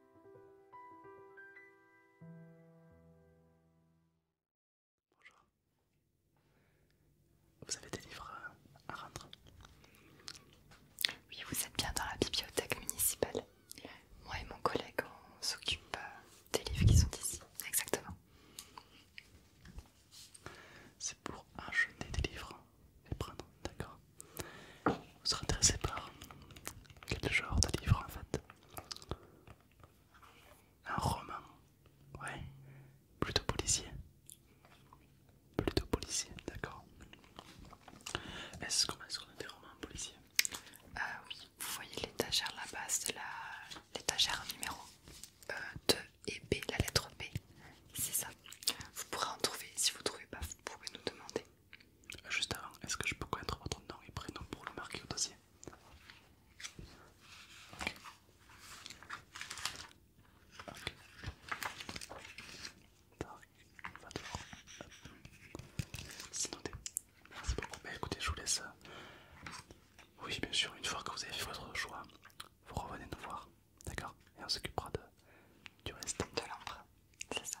Bonjour. Vous avez des livres à rendre Oui, vous êtes bien dans la bibliothèque municipale. Moi et mon collègue, on s'occupe euh, des livres qui sont ici. Exactement. C'est pour acheter des livres et prendre, d'accord Vous serez intéressé par quel genre de livre en fait Un roman, ouais, plutôt policier. Plutôt policier, d'accord Est-ce qu'on qu'on a des romans policiers ah Oui, vous voyez l'étagère là-bas, la l'étagère numéro 2 euh, et B, la lettre B. C'est ça. Vous pourrez en trouver. Si vous trouvez pas, vous pouvez nous demander. Juste avant, est-ce que je peux connaître votre nom et prénom pour le marquer au dossier Ok. C'est Merci beaucoup. Bah, écoutez, je vous laisse. Euh, oui, bien sûr, une fois que vous avez fait votre choix, vous revenez nous voir. D'accord Et on s'occupera du reste. De l'encre, c'est ça.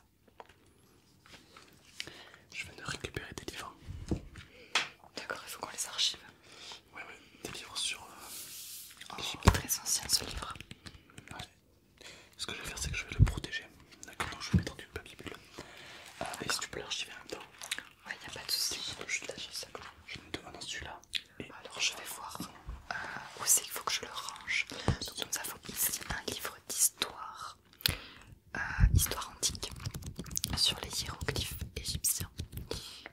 Je viens de récupérer des livres. D'accord, il faut qu'on les archive. Ouais, oui, des livres sur. Un euh, livre oh, très ancien ce livre. Ce que je vais faire, c'est que je vais le protéger. D'accord, donc je vais mettre du papier bulle. Euh, et si tu peux l'archiver en même temps. Ouais, y a pas de soucis. Je, ça. je, je me demande celui-là. Alors je vais voir euh, où c'est qu'il faut que je le range. Donc nous avons ici un livre d'histoire, euh, histoire antique, sur les hiéroglyphes égyptiens.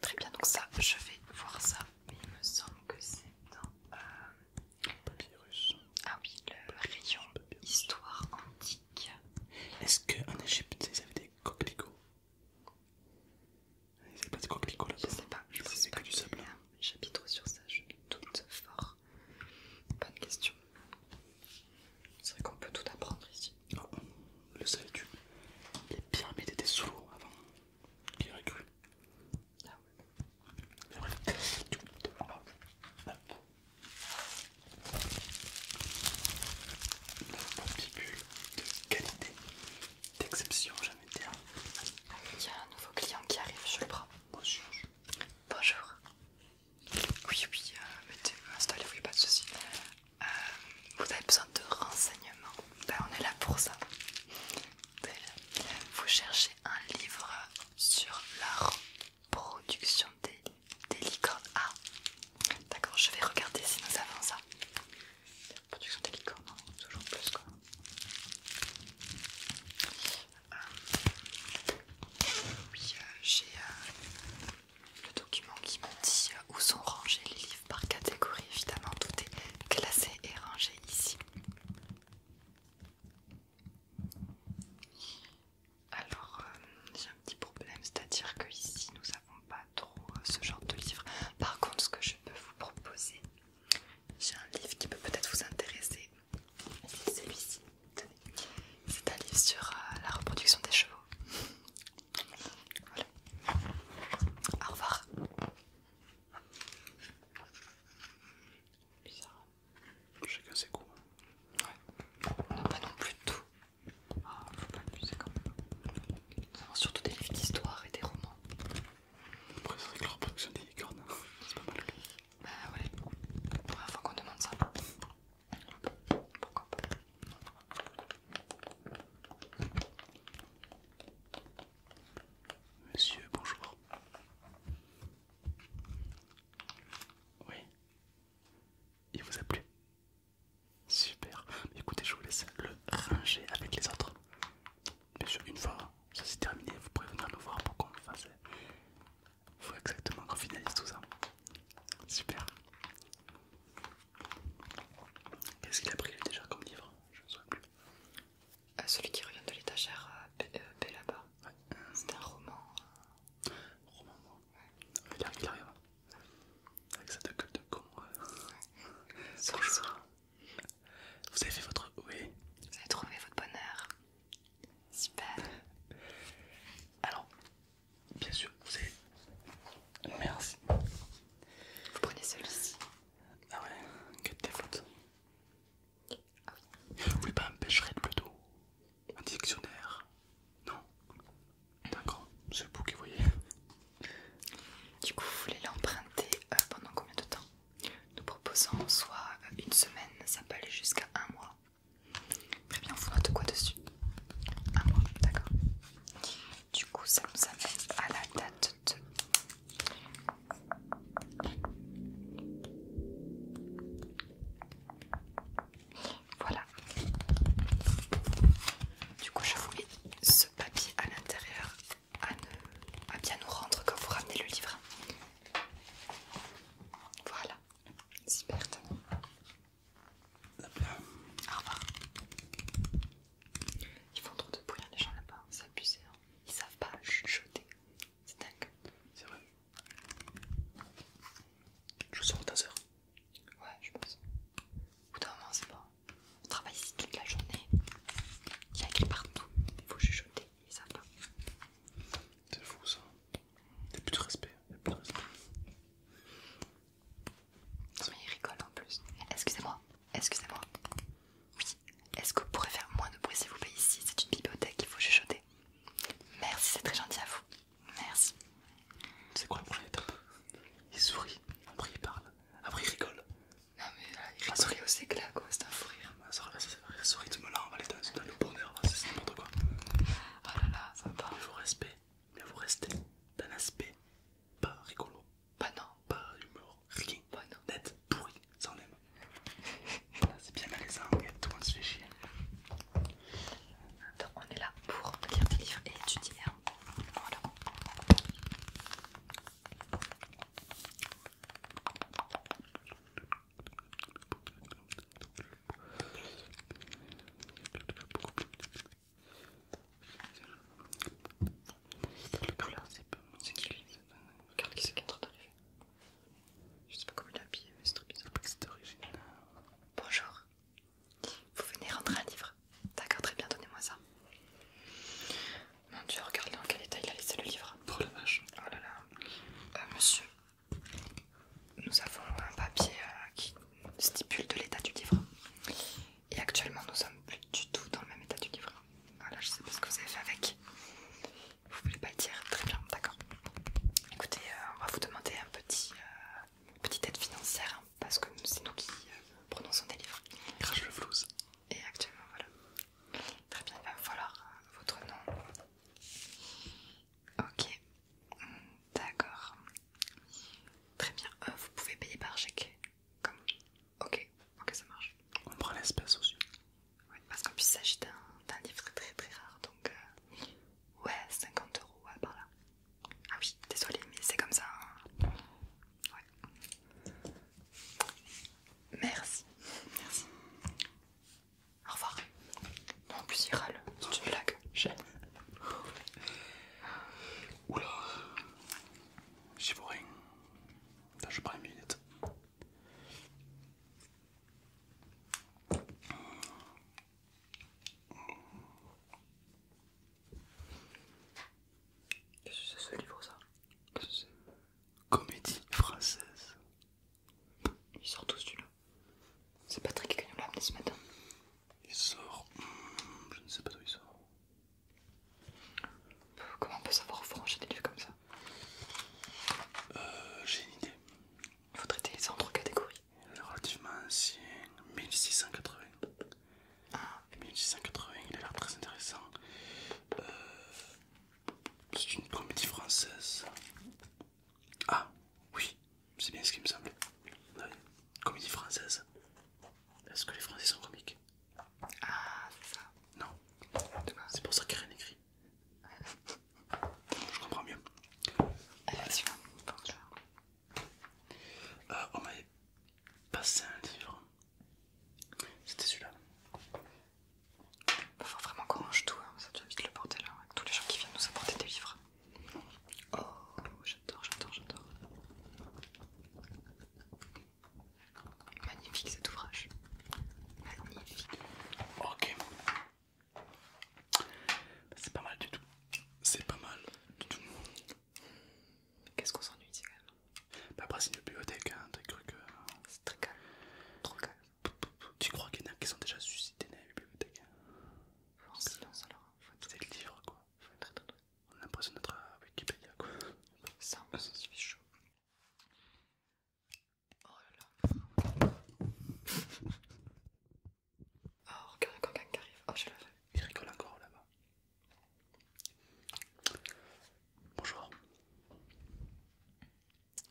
Très bien, donc ça, je vais voir ça. il me semble que c'est dans... Papyrus. Euh, ah oui, le rayon histoire antique. Est-ce qu'en Égypte, ils avaient des coquelicots c'est pas des coquelicots là Je sais pas, je sais que du sable. J'habite sur ça, je doute fort. Bonne question. C'est vrai qu'on peut tout apprendre ici. Oh, le savais-tu Les pyramides étaient sous l'eau avant. Qui aurait cru Ah ouais. Hop. bref. Une bulle de qualité d'exception, jamais envie Il y a un nouveau client qui arrive, je le prends. Bonjour. Bonjour. Oui, oui, euh, Mais installez-vous, oui, pas de soucis. Euh, vous avez besoin de renseignements Ben, on est là pour ça. Ben, vous cherchez un livre sur la reproduction des, des licornes. Ah, d'accord, je vais regarder si nous avons ça production des hein, hein, toujours plus quoi. Euh, oui, euh, j'ai euh, le document qui me dit où sont rangés les livres par catégorie, évidemment, tout est classé et rangé ici. Alors, j'ai un petit problème, c'est-à-dire que ici nous n'avons pas trop ce genre de livres. Par contre, ce que je peux vous proposer, j'ai un livre qui peut peut-être vous intéresser. C'est celui-ci. C'est un livre sur euh, la reproduction des chevaux. Voilà. Au revoir. Bizarre. Chacun ses coups. Hein. Ouais. Pas non plus tout. Ah, faut pas quand même. Surtout des livres d'histoire et des romans. Après, c'est vrai que la reproduction des licornes, c'est pas mal. Bah ouais, la première fois qu'on demande ça. Pourquoi pas Monsieur, bonjour. Oui. Il vous a plu Super. Écoutez, je vous laisse le ranger avec les autres. Bien sûr, une fois ça c'est terminé, vous pourrez venir nous voir pour qu'on fasse. Il Faut exactement qu'on finalise tout ça. Super. Qu'est-ce qu'il a pris déjà comme livre Je ne sais plus. celui qui revient de l'étagère B, là-bas. C'est un roman. Roman, moi. il, arrive, Avec sa gueule de con. Bonjour. Vous avez fait votre... Oui. Vous avez trouvé votre bonheur. Super. Alors, bien sûr, vous avez... Merci. Vous prenez celui-ci. Ah ouais, que t'es faute. Ah oui. Vous voulez pas un pêcherette plutôt Un dictionnaire Non D'accord, c'est le bouquet, voyez. Du coup, vous voulez l'emprunter euh, pendant combien de temps Nous proposons soit euh, une semaine, ça peut aller jusqu'à un mois. Très bien, vous note quoi dessus Un mois, d'accord. Du coup, ça nous amène à la date de... Voilà. Du coup, je vous mets ce papier à l'intérieur à, bien nous rendre quand vous ramenez le livre. Voilà, super. Au revoir. Ils font trop de bruit, les gens là-bas, c'est abusé. Hein. Ils savent pas chuchoter, c'est dingue. C'est vrai. Je vous sors ta Ouais, je pense. Au bout d'un moment, c'est bon. On travaille ici toute la journée. Il y a écrit partout. Il faut chuchoter, ils savent pas. C'est fou ça. Il n'y a plus de respect. Il a plus de respect. Non, il rigole en plus. Excusez-moi, excusez-moi. Oui, est-ce que vous pourriez faire moins de bruit s'il vous plaît ici C'est une bibliothèque, il faut chuchoter. Merci, c'est très gentil à vous. Merci. C'est quoi la prochaine étape Il sourit, après il parle, après il rigole. Non mais là, il sourit sec là quoi, c'est un fou rire. sourit ah, soeur, là, ça c'est vrai, tu me l'as emballé dans le bonheur, c'est n'importe quoi. Oh là là, ça me parle. Mais vous restez, mais vous restez d'un aspect pas rigolo. Pas bah non. Pas humour, rien. Pas bah non. Net, pourri, sans on aime. c'est bien malaisant, tout le monde se fait chier. Donc on est là pour lire des livres et étudier. Hein. Voilà. C'est qui lui Regarde qui c'est qui est en train d'arriver. Je sais pas comment il est habillé, mais c'est trop bizarre. C'est original. Bonjour. Vous venez rendre un livre. D'accord, très bien, donnez-moi ça. Mon dieu, regardez dans quel état il a laissé le livre. Pour la vache. Oh là là. Euh, monsieur, nous avons un papier euh, qui stipule de l'état du livre. Et actuellement, nous sommes plus du tout dans le même état du livre. Voilà, je sais pas ce que vous avez fait avec. Vous voulez pas le dire Très bien, d'accord. Écoutez, euh, on va vous demander un petit, petite aide financière. Hein parce que c'est nous qui euh, prononçons des livres. Crash le flouze. Et actuellement, voilà. Très bien, il va falloir euh, votre nom. Ok, d'accord. Très bien, euh, vous pouvez payer par chèque. Comme... Ok, ok, ça marche. On prend l'espace aussi. Ouais, parce qu'en plus, il s'agit d'un livre très très rare, donc ouais, 50 euros, ouais, par là. Ah oui, désolé, mais c'est comme ça. Hein. Merci. Merci. Au revoir. Non, en plus, il râle. C'est une blague. J'aime. Oula. J'ai vois rien. je prends une minute. Qu'est-ce que c'est ce livre ça Comédie française. Il sort tous celui-là. C'est Patrick qui nous l'a amené ce matin. Il sort. Hmm, je ne sais pas d'où il sort. Comment on peut savoir franchir des livres comme ça euh, J'ai une idée. Il faut traiter les autres catégories. Il est relativement ancien, 1680. Ah, 1680, il a l'air très intéressant. Euh, c'est une comédie française. Ah, oui, c'est bien ce qui me semble. Comédie française. Est-ce que les Français sont comiques Ah, c'est ça. Non. C'est pour ça qu'il n'y a rien écrit. Je comprends mieux. Allez, vas euh, on m'avait passé un livre, c'était celui-là. Il faut vraiment qu'on range tout, ça devient vite le porter là, avec tous les gens qui viennent nous apporter des livres. Oh, j'adore, j'adore, j'adore. Magnifique cet ouvrage. Magnifique. Ok. C'est pas mal du tout. C'est pas mal du tout. Qu'est-ce qu'on s'ennuie ici quand même bah Après c'est une bibliothèque, t'as cru que... C'est très calme. Trop calme. Tu crois qu'il y en a qui sont déjà suscités dans la bibliothèque hein? Faut en silence alors. C'est le livre quoi. Faut être On a l'impression d'être à Wikipédia quoi. Ça, on s'en suffit chaud. Oh là là. Oh, regarde qui arrive. Oh, je l'avais. Il rigole encore là-bas. Bonjour.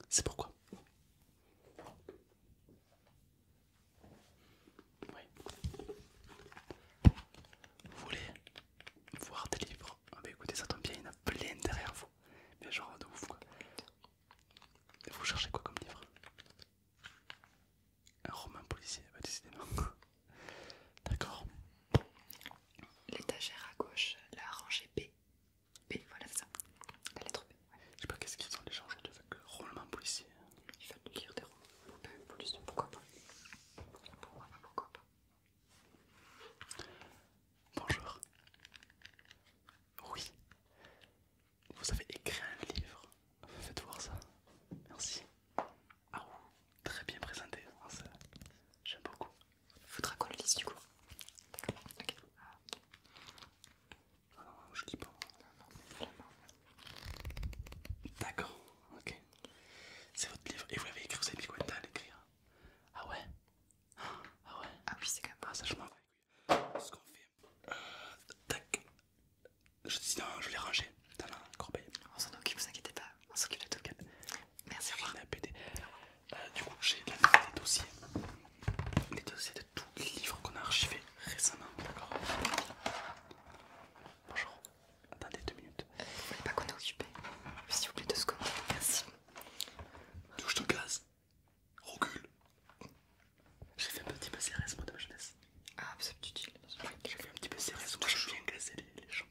C'est pourquoi Oui. Vous voulez voir des livres Ah, bah écoutez, ça tombe bien, il y en a plein derrière vous. Mais genre de ouf quoi. Vous cherchez quoi comme livre un roman policier, bah décidément. D'accord. L'étagère à gauche, la rangée B. B, voilà ça. La lettre B. Je sais pas qu'est-ce qu'ils ont les de avec le roman policier. Ils veulent lire des romans pourquoi pas Pourquoi pas, pourquoi pas Bonjour. Oui. Vous avez écrit un livre. Faites voir ça. Merci. Ah très bien présenté. Ah, j'aime beaucoup. Faudra qu'on le lise du coup. D'accord. Ok. Ah non, je pas. D'accord. Ok. C'est votre livre. Et vous l'avez écrit, vous avez mis combien à l'écrire Ah ouais Ah ouais Ah oui, c'est quand même pas ah, ça, je m'en euh, tac. Je, je l'ai rangé dans la corbeille. On s'en occupe, vous inquiétez pas. On s'occupe de tout. cas. Merci, au revoir. Euh, du coup, j'ai des dossiers. les dossiers de tous les livres qu'on a archivés récemment. D'accord Bonjour. Attendez deux minutes. On ne pas qu'on est occupé S'il vous plaît, deux secondes. Merci. Touche de gaz. J'ai fait un petit peu CRS moi de ma jeunesse. Ah, c'est utile. J'ai fait un petit peu CRS, moi je viens casser les, gens.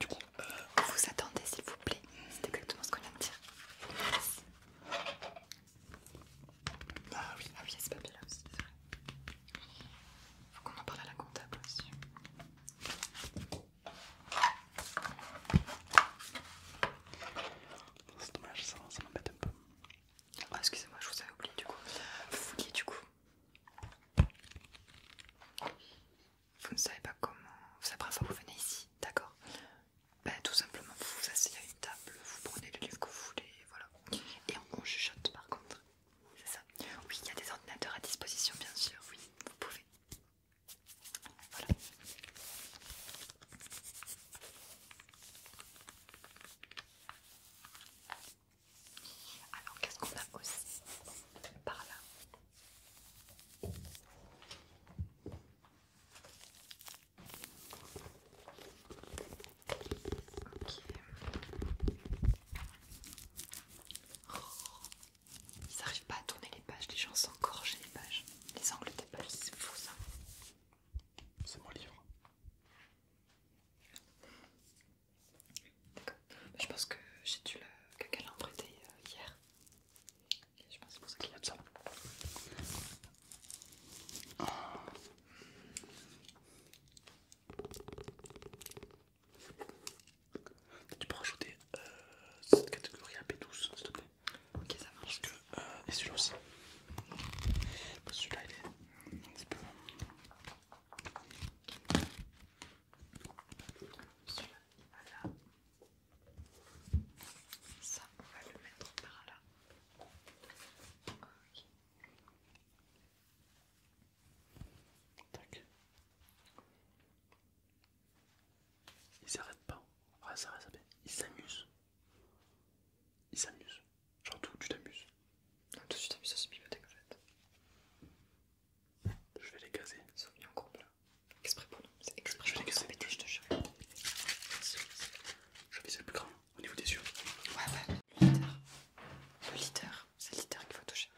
Du coup, euh, vous attendez s'il vous plaît, c'est exactement ce qu'on vient de dire. Ah oui, ah oui, c'est pas bien là aussi, c'est Faut qu'on en parle à la comptable aussi c'est dommage, ça, m'embête un peu. Ah, excusez-moi, je vous avais oublié du coup. Vous du coup. Vous ne savez pas comment. Vous savez pas à quoi vous venez ici, d'accord ben, Tout simplement, vous vous asseyez à une table, vous prenez le livre que vous voulez, voilà. Et on, on chuchote par contre. C'est ça Oui, il y a des ordinateurs à disposition, bien sûr, oui, vous pouvez. Alors, qu'est-ce qu'on a aussi par là oh, ils n'arrivent pas à tourner les pages, les gens s'engorgent les pages, les pas c'est faux ça. C'est mon livre. Bah, je pense que j'ai dû le que quelqu'un euh, hier. je pense que c'est pour ça qu'il y a de ça. Tu peux rajouter euh, cette catégorie à B12 s'il te plaît. Ok, ça marche. que, euh, et celui-là aussi. Celui-là, il est un petit peu. Celui-là, il là. Ça, on va le mettre par là. Ok. Ils s'arrêtent pas. Ah, ça bien. Ils s'amusent. Ils s'amusent. Genre, tout, tu t'amuses. Non, toi, tu t'amuses à cette bibliothèque en fait. Je vais les caser. Ils sont en couple Exprès pour nous. C'est exprès je, vais les caser. je te jure. Je vais le plus grand au niveau des yeux. Ouais, ouais, le leader. Le leader. C'est le leader qu'il faut toucher.